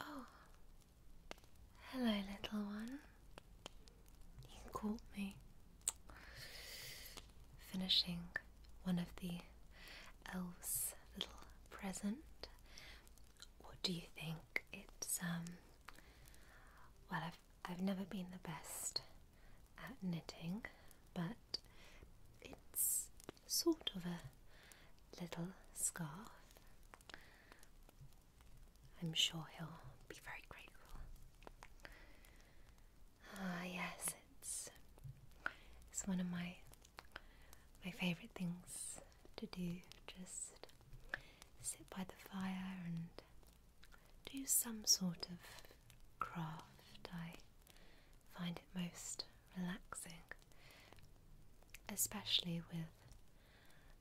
Oh, hello, little one. You caught me. Finishing one of the elves' little present. What do you think? It's um. Well, I've I've never been the best at knitting, but it's sort of a little scarf. I'm sure he'll be very grateful. Ah, yes, it's it's one of my my favorite things to do. Just sit by the fire and do some sort of craft. I find it most relaxing, especially with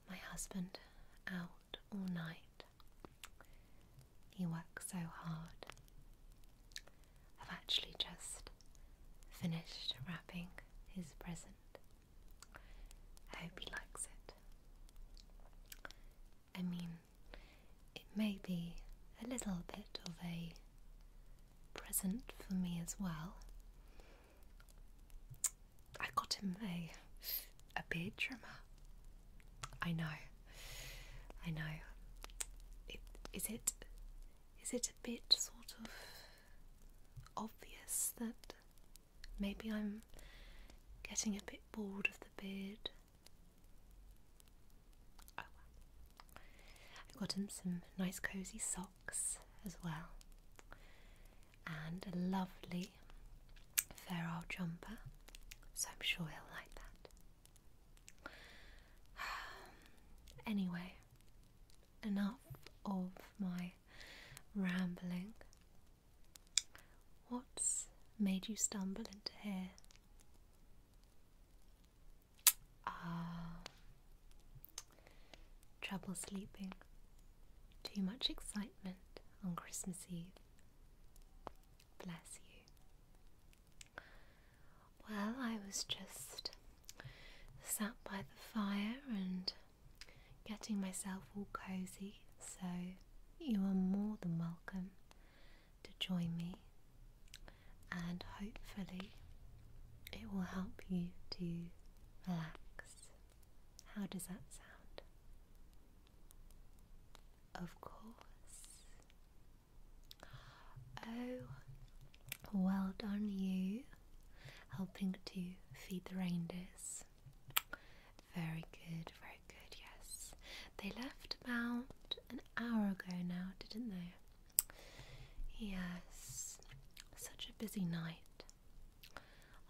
my husband out all night. He works so hard. I've actually just finished wrapping his present. I hope he likes it. I mean, it may be a little bit of a present for me as well, I got him a a beard trimmer. I know. I know. Is it is it a bit sort of obvious that maybe I'm getting a bit bored of the beard? Oh, I got him some nice cozy socks as well, and a lovely feral jumper, so I'm sure he'll like that. anyway, enough of my rambling. What's made you stumble into here? Ah. Trouble sleeping. Too much excitement on Christmas Eve. Bless you. Well, I was just sat by the fire and getting myself all cozy, so you are more than welcome to join me, and hopefully, it will help you to relax. How does that sound? Of course. Oh, well done, you. Helping to feed the reindeers. Very good, very good, yes. They left about an hour ago now, didn't they? Yes, such a busy night.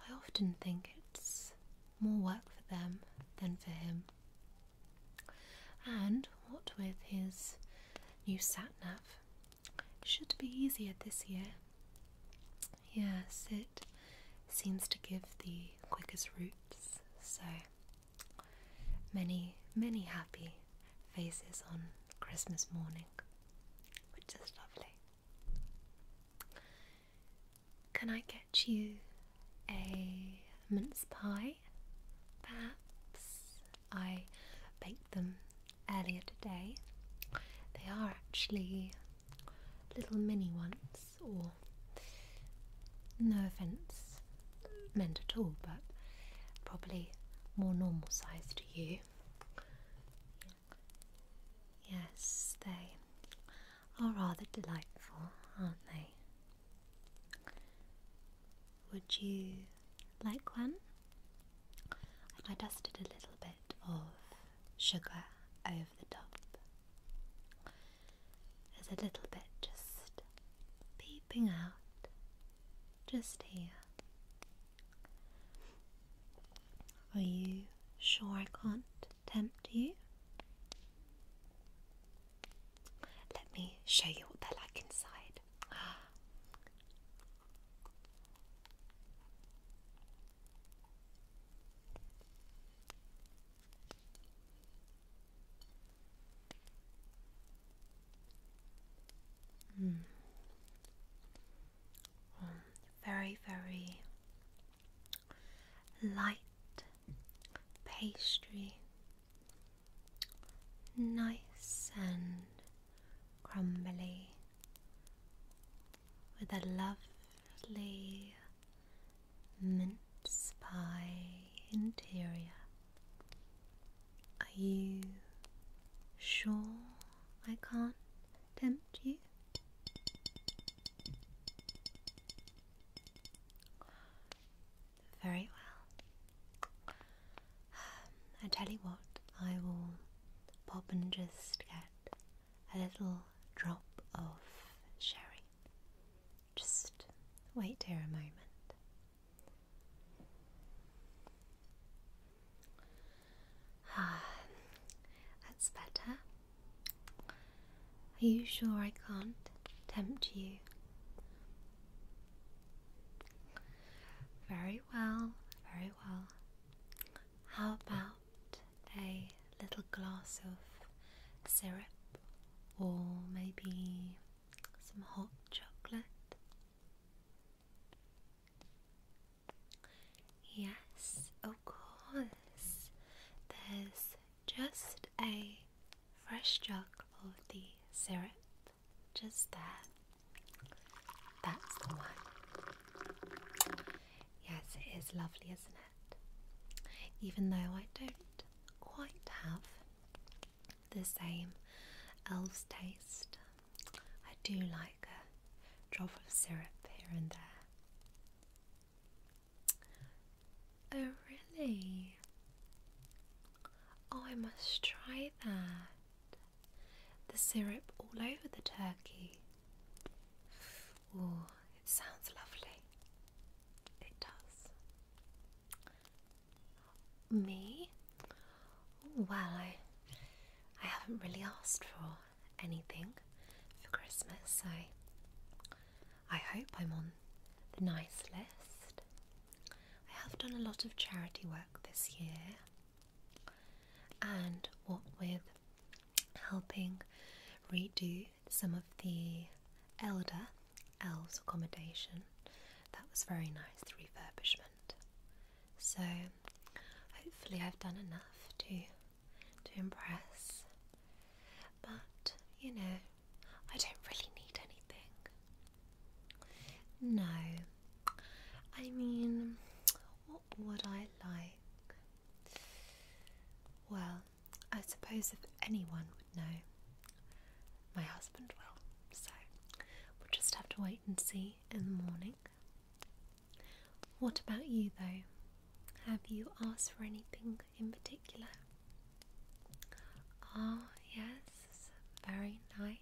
I often think it's more work for them than for him. And what with his new satnav, should be easier this year. Yes, it seems to give the quickest routes, so many, many happy faces on Christmas morning which is lovely. Can I get you a mince pie? Perhaps I baked them earlier today. They are actually little mini ones, or no offence meant at all, but probably more normal size to you. Yes, they are rather delightful, aren't they? Would you like one? I dusted a little bit of sugar over the top. There's a little bit just peeping out, just here. Are you sure I can't tempt you? Let me show you what they're like inside. Mm very, very light pastry, nice and crumbly, with a lovely mint pie interior. Are you sure I can't tempt you? Very well. Um, I tell you what, I will pop and just get a little drop of sherry. Just wait here a moment. Ah, that's better. Are you sure I can't tempt you? Very well, very well. How about a little glass of syrup or maybe some hot chocolate? Yes, of course. There's just a fresh jug of the syrup just there. That's the one. Yes, it is lovely, isn't it? Even though I don't quite have the same elves taste I do like a drop of syrup here and there. Oh, really? Oh, I must try that. The syrup all over the turkey. Oh, it sounds lovely. It does. Me? Well, I, I haven't really asked for anything for Christmas. I, I hope I'm on the nice list. I have done a lot of charity work this year, and what with helping redo some of the elder elves accommodation, that was very nice, the refurbishment. So hopefully I've done enough to to impress. But you know, I don't really need anything. No. I mean, what would I like? Well, I suppose if anyone would know, my husband will. So we'll just have to wait and see in the morning. What about you, though? Have you asked for anything in particular? Ah, yes, very nice.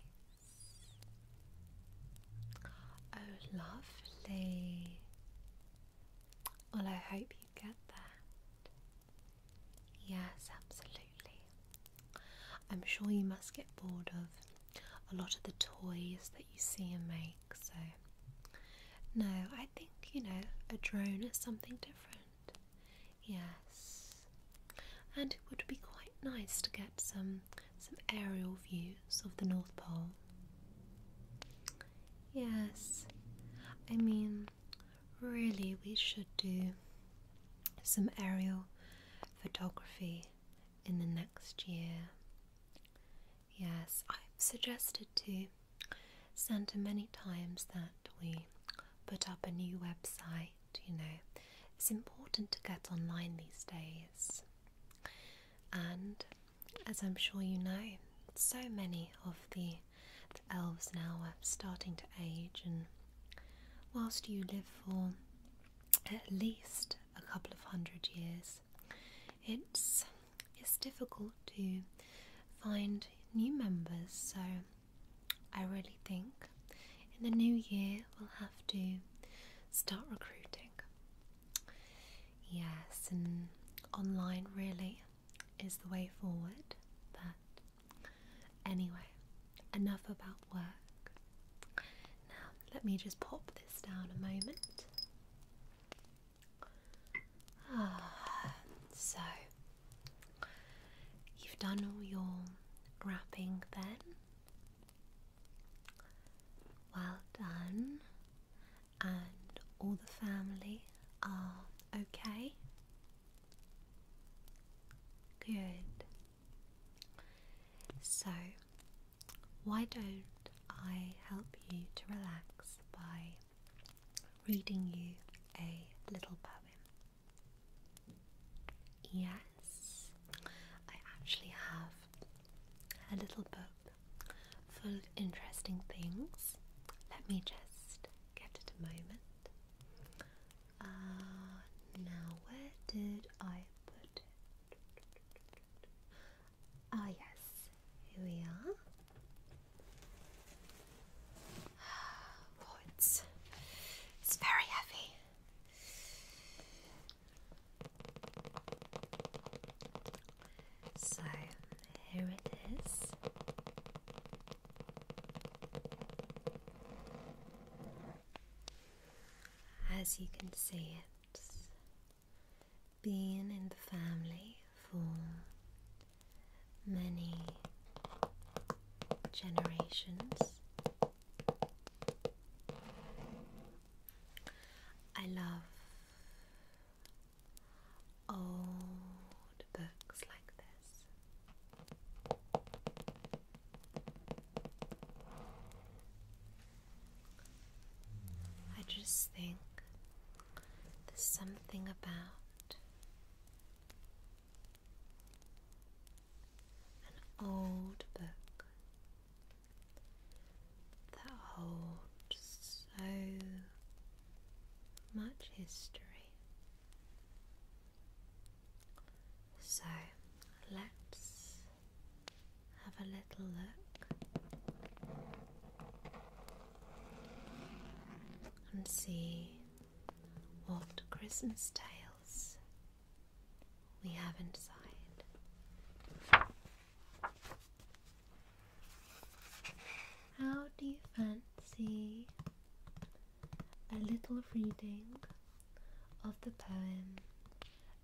Oh, lovely. Well, I hope you get that. Yes, absolutely. I'm sure you must get bored of a lot of the toys that you see and make. So, no, I think you know a drone is something different. Yes, and it would be quite nice to get some some aerial views of the North Pole. Yes, I mean, really, we should do some aerial photography in the next year. Yes, I've suggested to Santa many times that we put up a new website, you know. It's important to get online these days. And as I'm sure you know, so many of the, the elves now are starting to age, and whilst you live for at least a couple of hundred years, it's it's difficult to find new members, so I really think in the new year we'll have to start recruiting. Yes, and online really is the way forward. But anyway, enough about work. Now, let me just pop this down a moment. Ah, so you've done all your wrapping then. Well done, and all the family are okay. Good. So why don't I help you to relax by reading you a little poem? Yes, I actually have a little book full of interesting things. Let me just get it a moment. Uh, now, where did I put it? Oh, yes, here we are. Oh, it's, very heavy. So here it is. As you can see, it's being in the family for many generations. I love old books like this. I just think there's something about an old book that holds so much history. So let's have a little look and see what Christmas tales we have inside. How do you fancy a little reading of the poem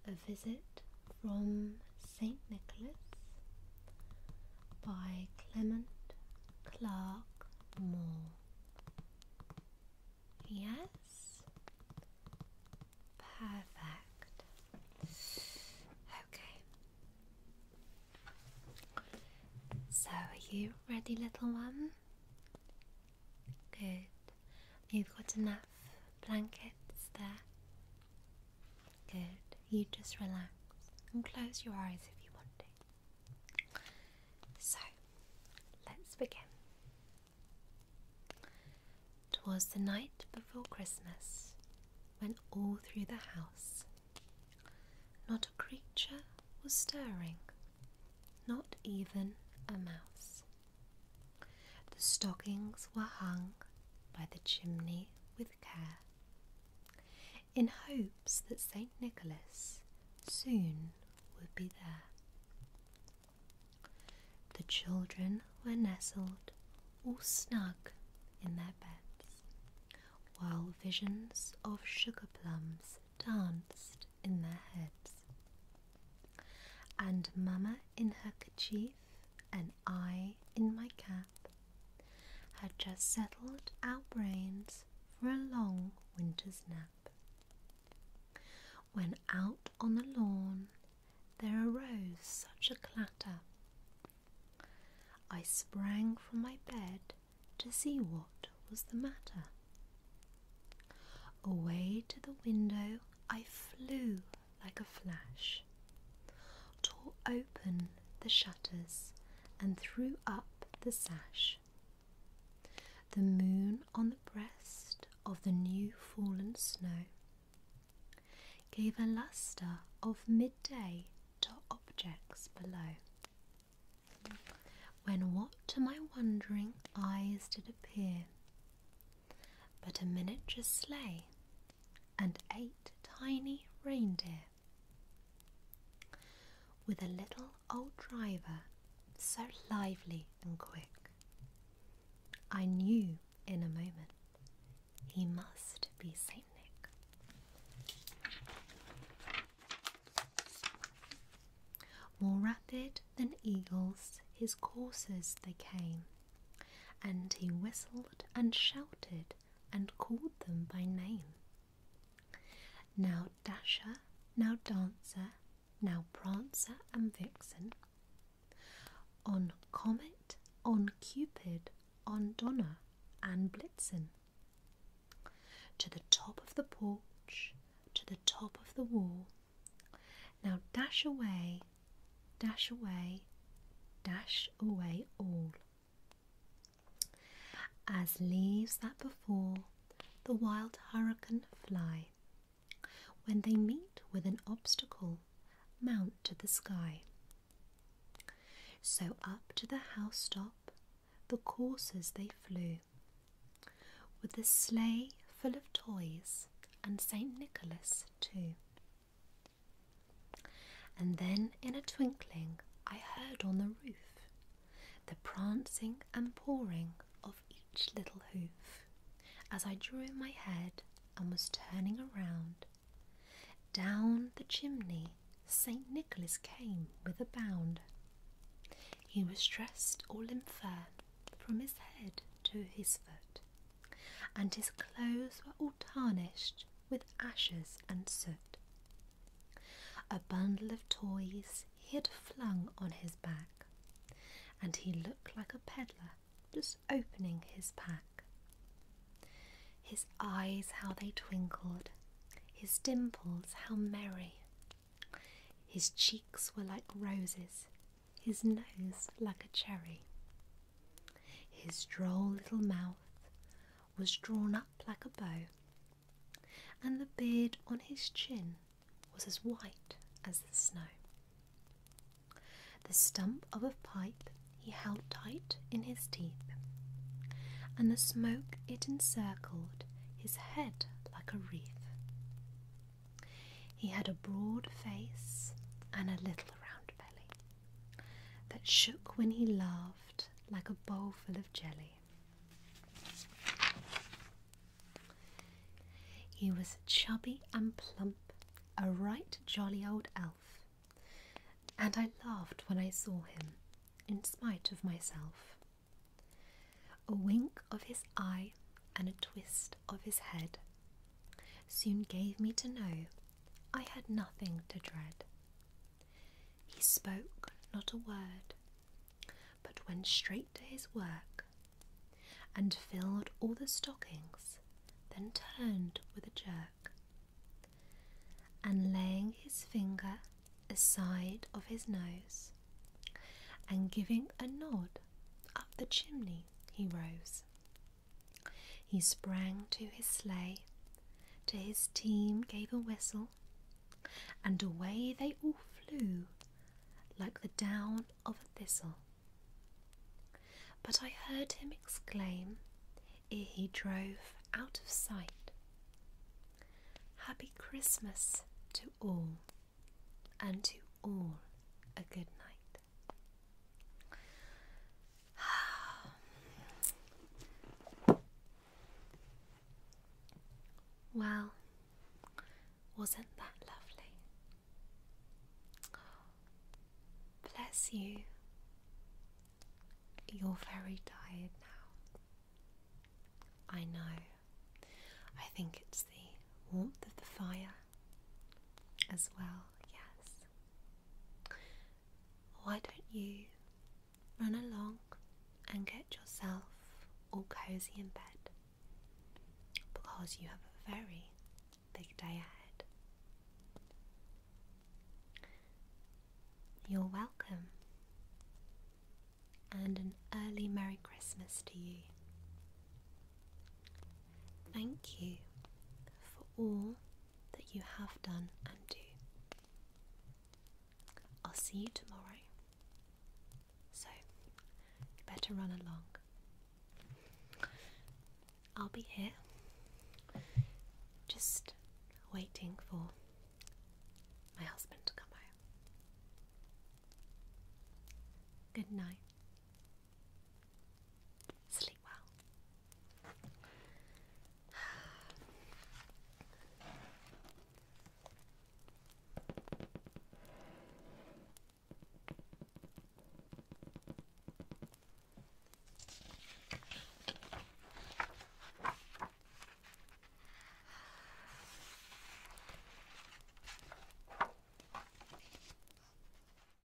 a visit from St. Nicholas by Clement Clark Moore. Yes? Perfect. Okay. So, are you ready, little one? Good. You've got enough blankets there. Good. You just relax and close your eyes if you want to. So, let's begin. Twas the night before Christmas when all through the house not a creature was stirring, not even a mouse. The stockings were hung by the chimney with care, in hopes that St. Nicholas soon would be there. The children were nestled all snug in their beds, while visions of sugar plums danced in their heads. And Mamma in her kerchief and I in my cap had just settled our brains for a long winter's nap. When out on the lawn there arose such a clatter, I sprang from my bed to see what was the matter. Away to the window I flew like a flash, tore open the shutters, and threw up the sash. The moon on the breast of the new fallen snow gave a lustre of midday to objects below. When what to my wondering eyes did appear but a miniature sleigh and eight tiny reindeer. With a little old driver so lively and quick. I knew in a moment he must be Saint Nick. More rapid than eagles, his coursers they came, and he whistled and shouted and called them by name. Now Dasher, now Dancer, now Prancer and Vixen. On Comet, on Cupid, on Donner and Blitzen. To the top of the porch, to the top of the wall. Now dash away, dash away, dash away all. As leaves that before the wild hurricane fly, when they meet with an obstacle, mount to the sky. So up to the house top the coursers they flew, with the sleigh full of toys and St. Nicholas too. And then in a twinkling I heard on the roof the prancing and pawing of each little hoof. As I drew in my head and was turning around, down the chimney St. Nicholas came with a bound. He was dressed all in fur from his head to his foot and his clothes were all tarnished with ashes and soot. A bundle of toys he had flung on his back, and he looked like a peddler just opening his pack. His eyes, how they twinkled, his dimples, how merry. His cheeks were like roses, his nose like a cherry. His droll little mouth was drawn up like a bow, and the beard on his chin was as white as the snow. The stump of a pipe he held tight in his teeth, and the smoke it encircled his head like a wreath. He had a broad face and a little around belly that shook when he laughed like a bowl full of jelly. He was chubby and plump, a right jolly old elf, and I laughed when I saw him, in spite of myself. A wink of his eye and a twist of his head soon gave me to know I had nothing to dread. He spoke not a word, but went straight to his work and filled all the stockings, then turned with a jerk. And laying his finger aside of his nose, and giving a nod up the chimney, he rose. He sprang to his sleigh, to his team gave a whistle, and away they all flew like the down of a thistle. But I heard him exclaim ere he drove out of sight Happy Christmas to all, and to all a good night. well, wasn't that lovely? Bless you. You're very tired now. I know. I think it's the warmth of the fire as well, yes. Why don't you run along and get yourself all cozy in bed? Because you have a very big day ahead. You're welcome, and an early Merry Christmas to you. Thank you for all that you have done and do. I'll see you tomorrow. So, you better run along. I'll be here, just waiting for my husband to come home. Good night. Sleep really well.